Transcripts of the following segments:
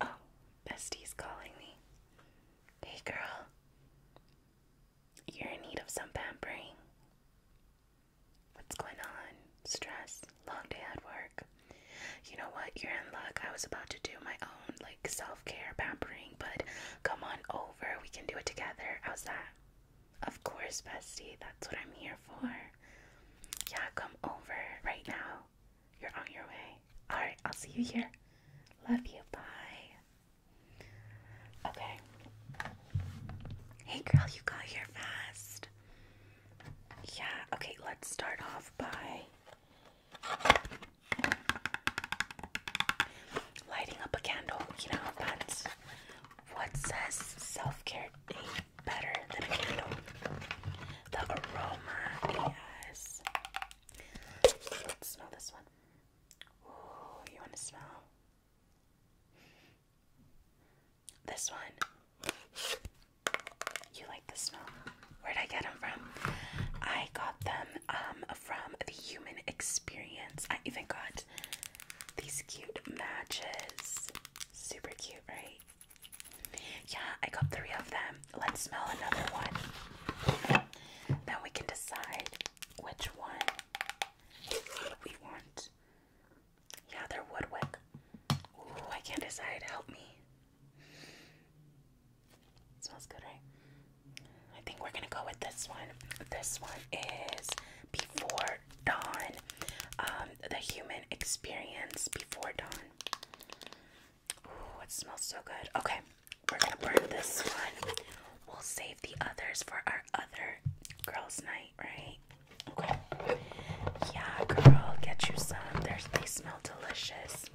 Oh, Bestie's calling me. Hey, girl. You're in need of some pampering. What's going on? Stress? Long day at work? You know what? You're in luck. I was about to do my own, like, self care pampering, but come on over. We can do it together. How's that? Of course, Bestie. That's what I'm here for. Yeah, come over right now. You're on your way. Alright, I'll see you here. Love you. Bye. Okay. Hey, girl, you got here fast. Yeah, okay, let's start off by lighting up a candle. You know, that's what says self care better than a candle the aroma. Yes. Let's smell this one. Ooh, you want to smell? This one. You like the smell? Where'd I get them from? I got them um, from the Human Experience. I even got these cute matches. Super cute, right? Yeah, I got three of them. Let's smell another one. Then we can decide which one we want. Yeah, they're Woodwick. Ooh, I can't decide. Help me. smells good, right? I think we're gonna go with this one. This one is Before Dawn. Um, the human experience before dawn. Ooh, it smells so good. Okay, we're gonna burn this one. We'll save the others for our other girls' night, right? Okay. Yeah, girl, get you some. They're, smell delicious.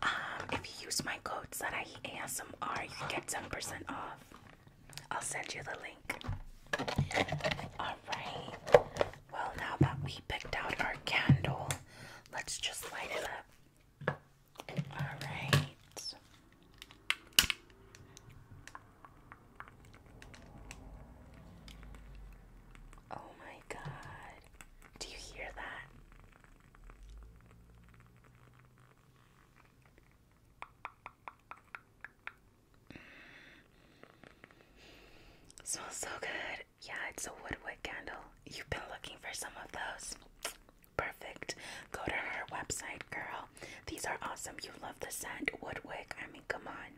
Um, if you use my code ASMR, you get 10% off. I'll send you the link. Alright. Well, now that we picked out our candle, Let's just light it up. All right. Oh my god. Do you hear that? smells so good. Yeah, it's a woodwick candle. You've been looking for some of those. Perfect. Go to her website, girl. These are awesome. You love the scent. Woodwick. I mean, come on.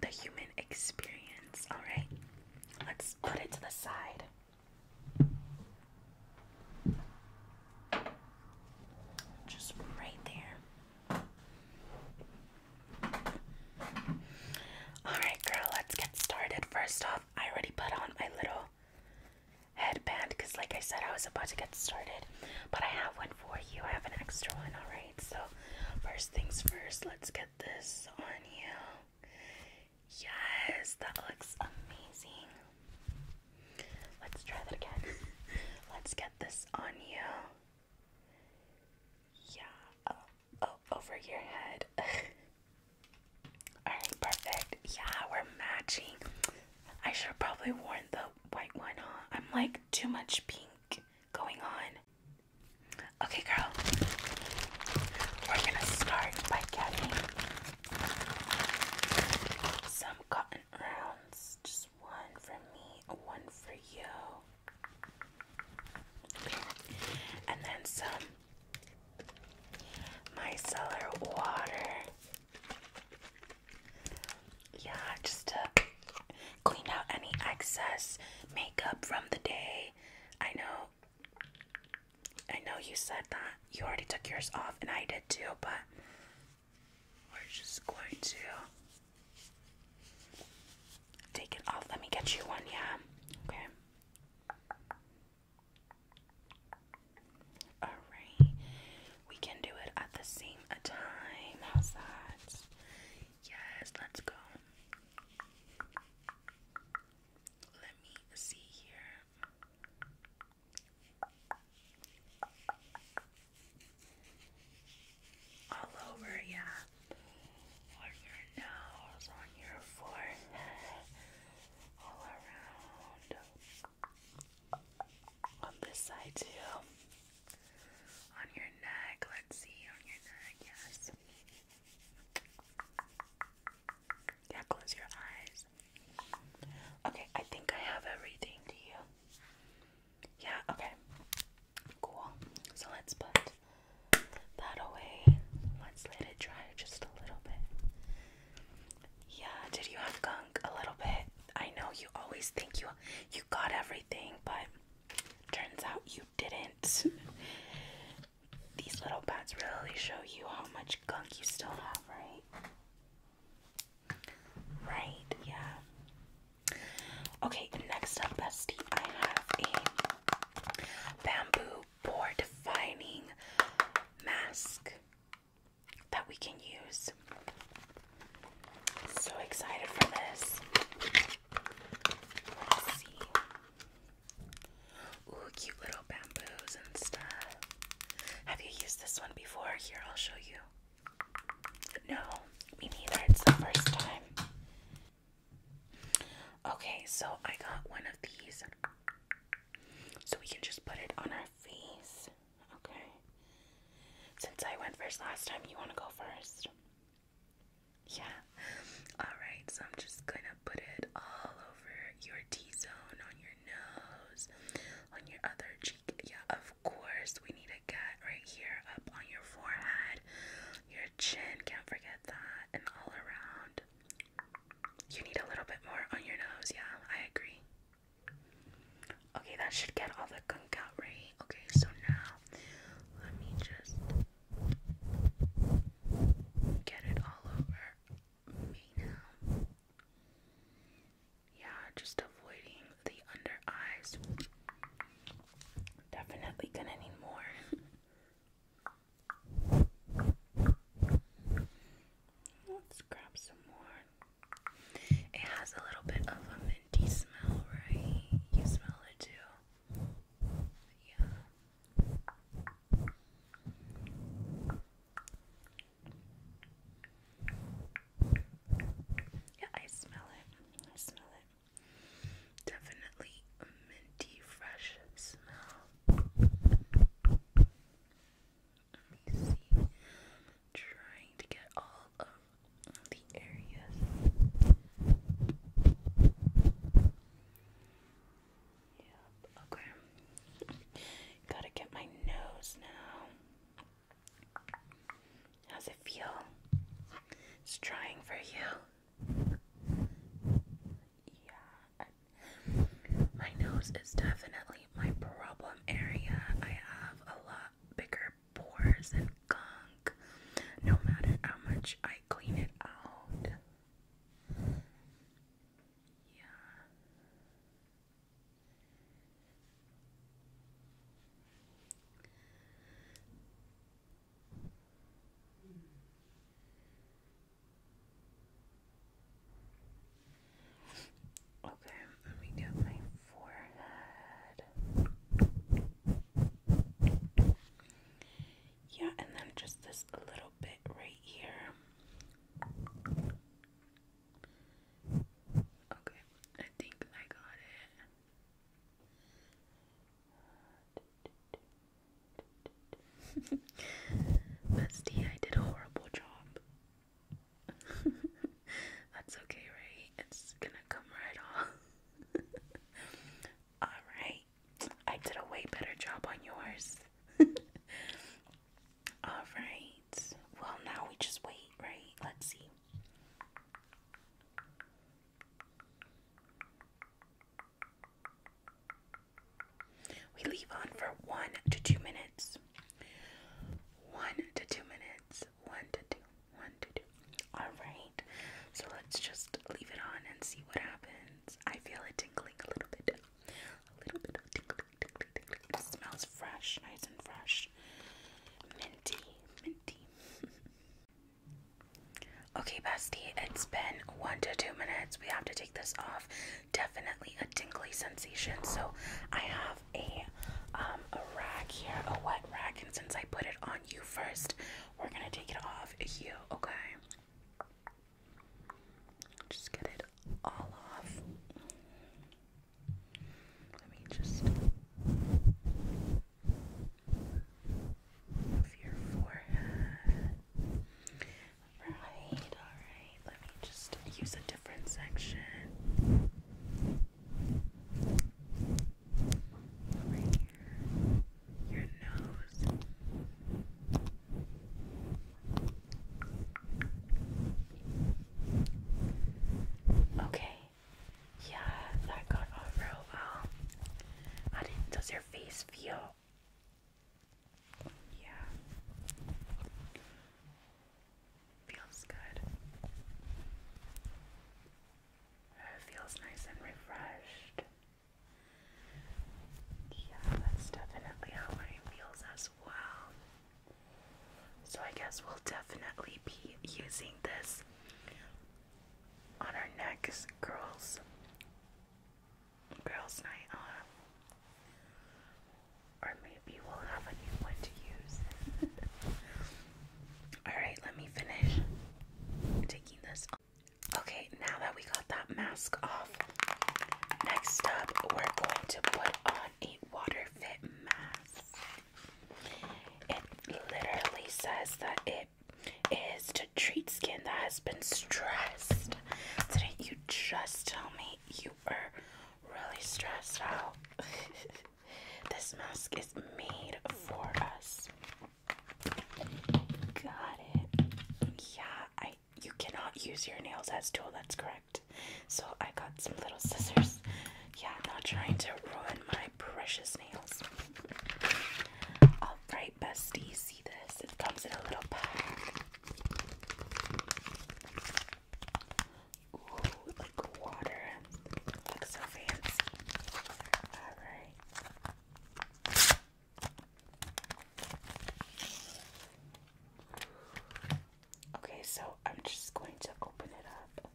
The human experience. All right. Let's put it to the side. Just right there. Alright, girl, let's get started. First off, I already put on my little headband because, like I said, I was about to get started. But I have one for you. I have an extra one, alright? So, first things first, let's get this on you. Yes, that looks amazing. Let's try that again. let's get this on you. Yeah. Oh, oh, over your head. Alright, perfect. Yeah, we're matching. I should probably worn the white one, I'm like too much pink going on. Okay, girl. We're gonna start by getting some cotton rounds. Just one for me, one for you. And then some Micellar water. Yeah, just to clean out any excess makeup from the day. I know. I know you said that you already took yours off, and I did too, but we're just going to take it off. Let me get you one, yeah? Okay. Alright, we can do it at the same time. How's that? Yes, let's go. Let me see here. All over, yeah on your nose, on your forehead, all around. On this side too. On your neck, let's see, on your neck, yes. Yeah, close your eyes. Okay, I think I have everything. Do you? Yeah, okay. Cool. So let's put that away. Let's let it dry just a little bit. Yeah, did you have gunk? A little bit. I know you always think you you got everything, but turns out you didn't. These little pads really show you how much gunk you still have, right? Right, yeah. Okay, next up, bestie, I have a bamboo for defining mask that we can use. So excited for this. Ooh, cute little bamboos and stuff. Have you used this one before? Here, I'll show you. No, me neither. It's the first time. Okay, so I got one of these. So we can just put it on our face. Okay. Since I went first last time, you want to go first? Yeah. Alright, so I'm just going to put it all over your T zone, on your nose, on your other cheek. Yeah, of course, we need to get right here up on your forehead, chin, can't forget that, and all around. You need a little bit more on your nose, yeah, I agree. Okay, that should get all the gunk out, right? Okay, so now let me just get it all over me now. Yeah, just avoiding the under eyes. Definitely gonna need more. Let's grab some more. It has a little bit of a minty smell, right? You smell it too. Yeah. Yeah, I smell it. I smell it. Definitely a minty, fresh smell. Let me see. trying to get all of the areas. Yep, okay. Gotta get my nose now. How's it feel? It's trying for you yeah, my nose is definitely my problem area. I have a lot bigger pores and gunk, no matter how much I clean it out. Yeah. Okay, let me do my forehead. Yeah, and then just this little bit right here. Okay, I think I got it. Bestie, I did a horrible job. That's okay, right? It's gonna come right off. Alright. I did a way better job on yours. Alright. Well, now we just wait, right? Let's see. We leave on for one to two minutes. One to two minutes. One to two. One to two. Alright. So let's just leave it on and see what happens. I feel it tingling a little bit. A little bit of tingling, tingling, tingling. It smells fresh, nice and fresh. Minty, minty. okay, bestie, it's been one to two minutes. We have to take this off. Definitely a tingly sensation. So I have um, a rag here, a wet rag, and since I put it on you first, we're gonna take it off you, okay? Just get it all off. Let me just Right, alright. Let me just use a different section. Right here. Your nose. Okay. Yeah, that got off real well. How does your face feel? Yeah. Feels good. feels nice and refreshed. Yeah, that's definitely how mine feels as well. So I guess we'll definitely be using this on our next girls girls' night on. Or maybe we'll have a new one to use. Alright, let me finish taking this off. Okay, now that we got that mask off, next up we're going to put on a water fit mask. It literally says that it is to treat skin that has been stressed. Didn't you just tell me you are really stressed out? this mask is made for us. Got it. Yeah, I you cannot use your nails as tool, that's correct. So I got some little scissors. Yeah, not trying to ruin my precious nails. Alright, bestie, see this? It comes in a little pack. Ooh, like water. Looks so fancy. Alright. Okay, so I'm just going to open it up.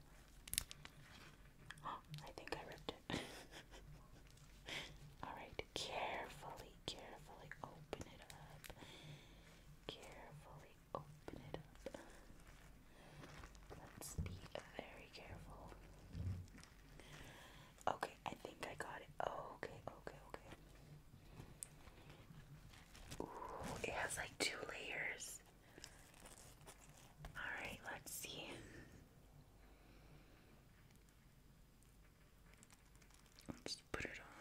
I think I ripped it. Alright carefully, carefully open it up. Carefully open it up. Let's be very careful. Okay, I think I got it. Okay, okay, okay. Ooh, it has like two layers. Alright, let's see put it on.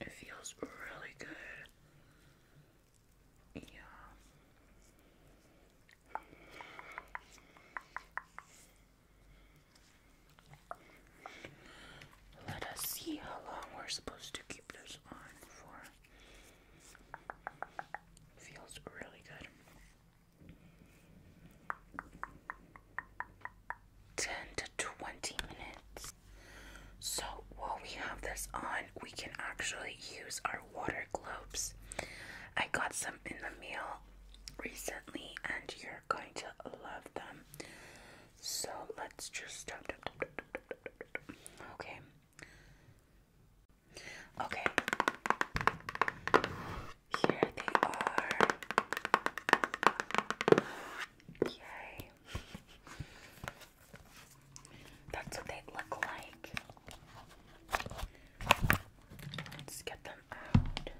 It feels really good. Yeah. Let us see how long we're supposed to keep this on for. Feels really good. 10 to 20 minutes. So while we have this on, we can actually use our water globes. I got some in the mail recently and you're going to love them. So let's just. Okay, Okay. Here they are. Yay. That's what they look like. Let's get them out.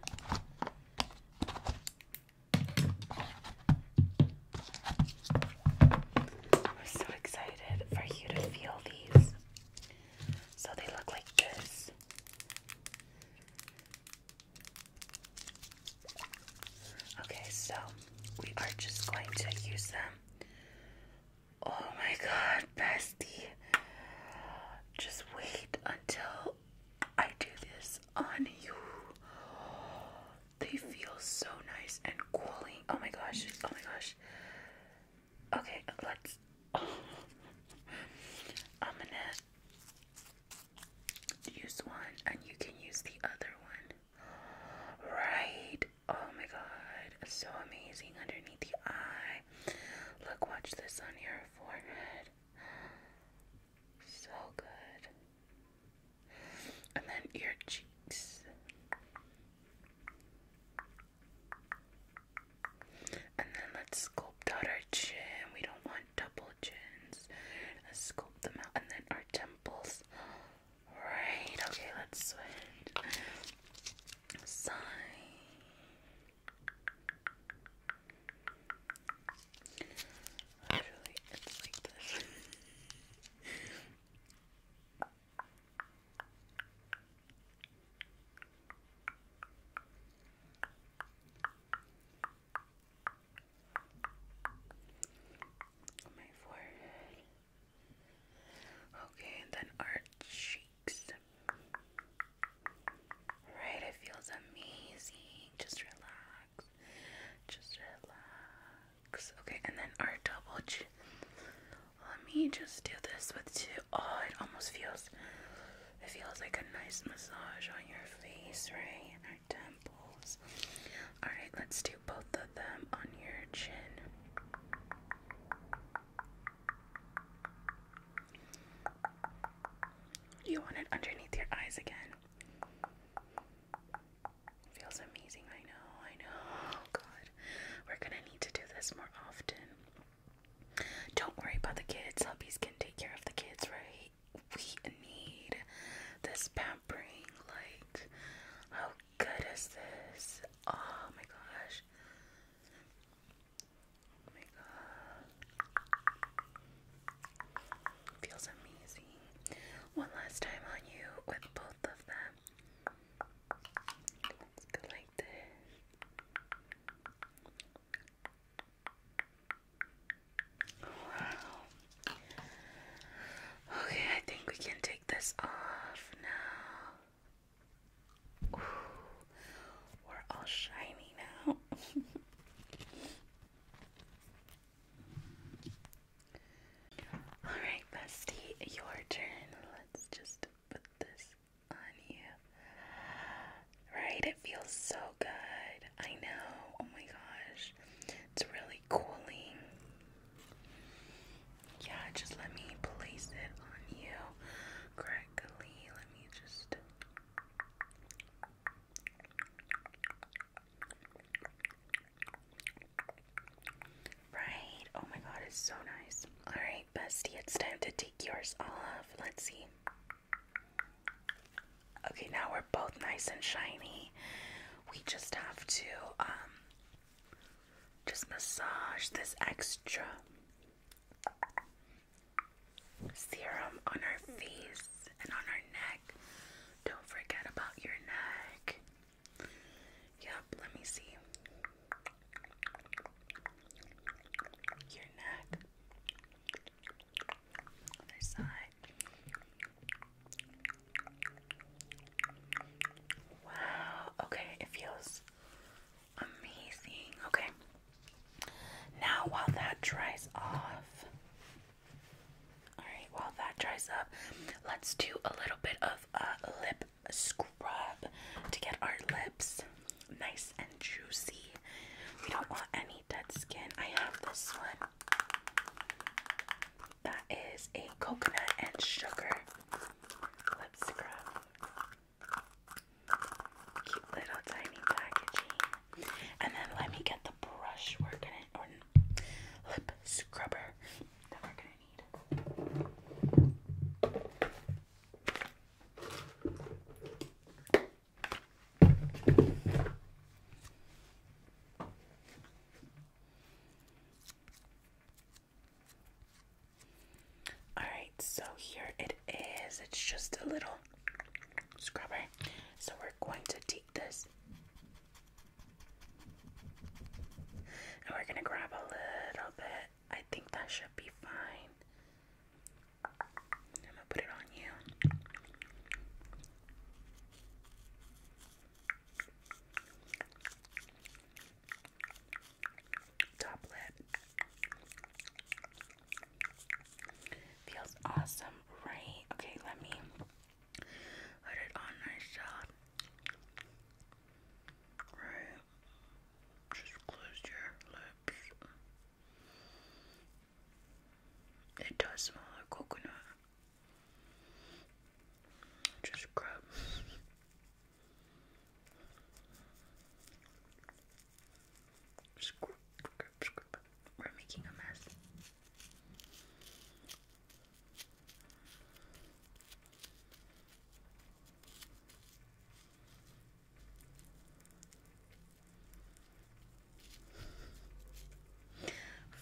I'm so excited for you to feel these. So they look like this. Okay, so we are just going to use them. Oh my god, bestie. Just wait until I do this on you. They feel so nice and cooling. Oh my gosh. Oh my gosh. Okay, let's. I'm gonna use one and you can use the other one. Right. Oh my god. So amazing underneath the eye. Look, watch this on your forehead. So good and then your cheeks, and then let's sculpt out our chin. We don't want double chins. Let's sculpt them out, and then our temples. Right. Okay. Let's switch. Sign. Actually, it's like this. my forehead. Okay, then our cheeks. Right, it feels amazing. Just relax. Just relax. Okay, and then our double chin. Let me just do this with two. Oh, it almost feels. It feels like a nice massage on your face, right? And our temples. All right, let's do both of them on your chin. You want it underneath your eyes again. Feels amazing. I know. I know. Oh, God, we're gonna need to do this more often. Don't worry about the kids. Hubbies can take care of the kids, right? We need this pampering. Like, how good is this? Oh my gosh. Oh my god. Feels amazing. One last time on you with both of them. Let's go like this. Wow. Okay, I think we can take this off now. we're all shiny now. Alright, Bestie, your turn. Let's just put this on you. Right? It feels so good. I know. Oh my gosh. It's really cooling. Yeah, just let me place it on you correctly. Let me just. Right. Oh my god, it's so nice. Alright, bestie, it's time to take yours off. Let's see. Okay, now we're both nice and shiny. We just have to um just massage this extra serum on our face and on our neck. Don't forget about your neck. Yep, let me see. Your neck. Other side. Wow, okay, it feels amazing. Okay. Now while that dries off, all right, while that dries up, let's do a little bit of a uh, lip a scrub to get our lips nice and juicy. We don't want any dead skin. I have this one. That is a coconut and sugar lip scrub. Cute little tiny packaging. And then let me get the brush we lip scrubber all right, so here it is. It's just a little scrubber. So we're going to take this and we're going to grab a little bit I think that should be fine. I'm gonna put it on you. Top lip. Feels awesome, right? Okay, let me put it on myself. Right. Just close your lips. It does smell like coconut. Just grab. Scrub, scrub, scrub. We're making a mess.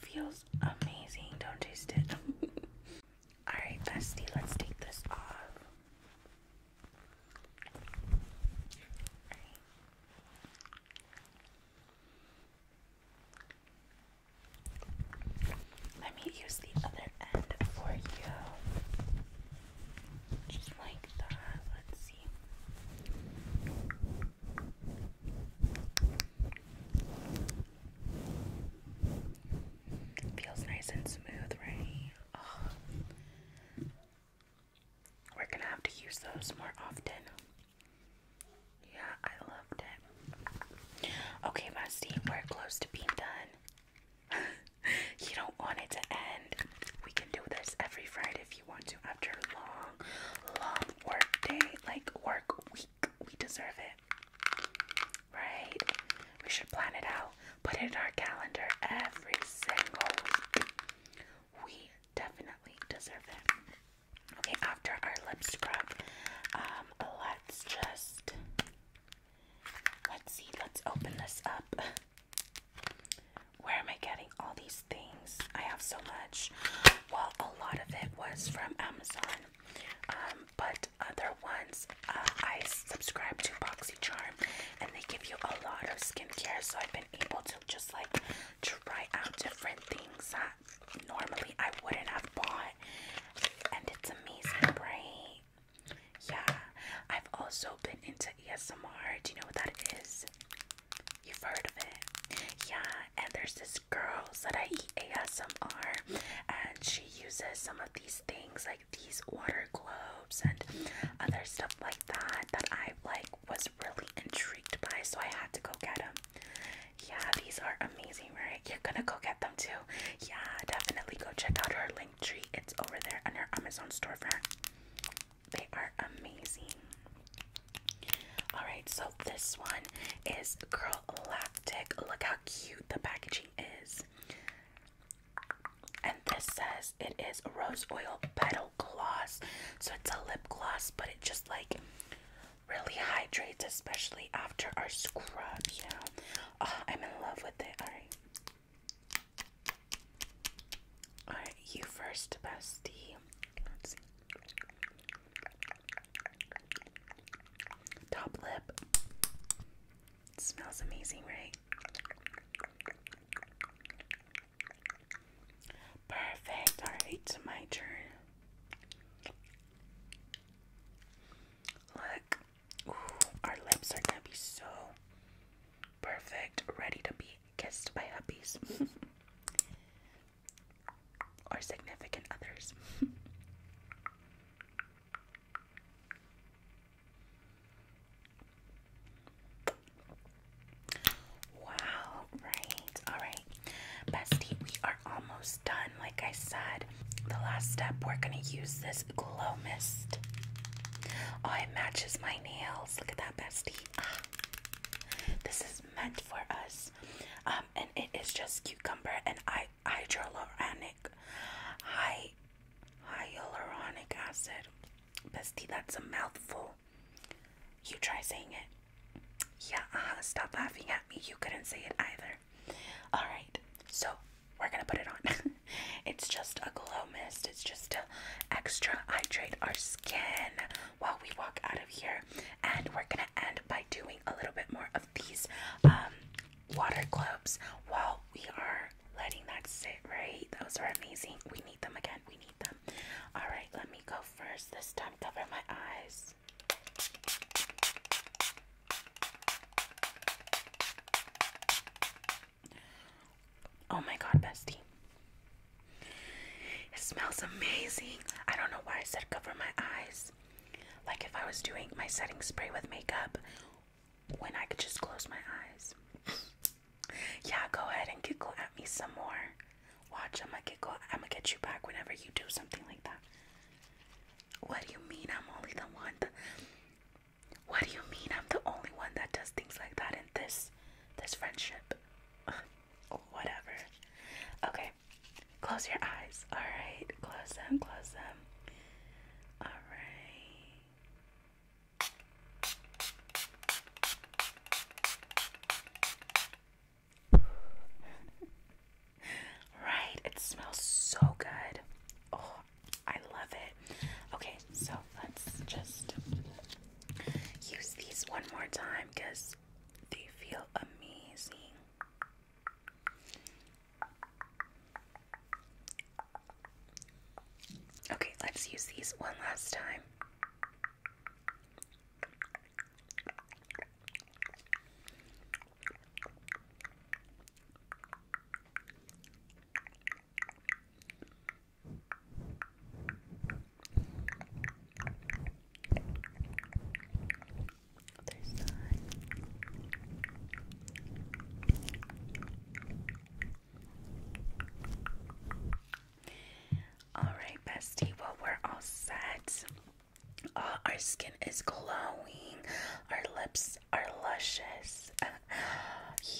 Feels amazing, don't taste it. Alright, bestie, let's take this off. Let me use the other end for you. Just like that. Let's see. Feels nice and smooth, right? We're gonna have to use those more often. Yeah, I loved it. Okay, Musty, we're close to being done. you don't want it to end. We can do this every Friday if you want to after long, long work day, like work week. We deserve it. Right? We should plan it out. Put it in our calendar every single We definitely deserve it. Okay, after our lip scrub, um, let's just Let's see, let's open this up. Where am I getting all these things? I have so much. Well, a lot of it was from Amazon, um, but other ones uh, I subscribe to BoxyCharm and they give you a lot of skincare, so I've been able to just like try out different things that normally I wouldn't have bought, and it's amazing, yeah, I've also been into ASMR. Do you know what that is? You've heard of it. Yeah, and there's this girl that I eat ASMR, and she uses some of these things like these water globes and other stuff like that that I like was really intrigued by, so I had to go get them. Yeah, these are amazing, right? You're gonna go get them too. Yeah, definitely go check out her link tree. It's over there on our Amazon storefront. They are amazing. Alright, so this one is Girl Lactic. Look how cute the packaging is. And this says it is rose oil petal gloss. So it's a lip gloss, but it just like really hydrates, especially after our scrub, you know. Ah, I'm in love with it. Alright. Alright, you first, bestie. Top lip. smells amazing, right? Perfect. Alright, my turn. Look, our lips are gonna be so perfect, ready to be kissed by puppies or significant others. wow, right, all right, bestie, we are almost done, like I said. The last step, we're gonna use this glow mist. Oh, it matches my nails. Look at that, bestie. Ah. this is meant for us. Um, and it is just cucumber and I hyaluronic, hy hyaluronic acid. Bestie, that's a mouthful. You try saying it. Yeah, uh -huh, stop laughing at me. You couldn't say it either. Alright, so we're gonna put it on. it's just a glow mist. It's just to extra hydrate our skin while we walk out of here. And we're gonna end by doing a little bit more of these um, water globes while we are letting that sit. Right? Those are amazing. We need them again. We need them. All right. Let me go first. This time, cover my eyes. Oh my god, bestie. It smells amazing. I don't know why I said cover my eyes. Like if I was doing my setting spray with makeup, when I could just close my eyes. yeah, go ahead and giggle at me some more. Watch, I'm gonna giggle. I'm gonna get you back whenever you do something like that. What do you mean I'm only the one? What do you mean I'm the only one that does things like that in this this friendship? Oh, whatever. Okay. Close your eyes. Alright. Close them, close them. Alright. right, it smells so good. Oh, I love it. Okay, so let's just use these one more time because they feel amazing. Okay, let's use these one last time. All right, bestie. Well, we're all set. Uh, our skin is glowing. Our lips are luscious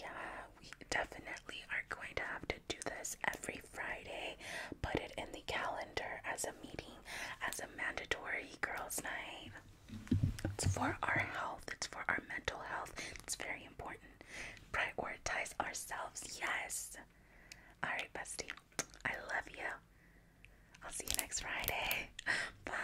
yeah, we definitely are going to have to do this every Friday. Put it in the calendar as a meeting, as a mandatory girls' night. It's for our health, it's for our mental health. It's very important. Prioritize ourselves, yes. Alright, bestie. I love you. I'll see you next Friday. Bye.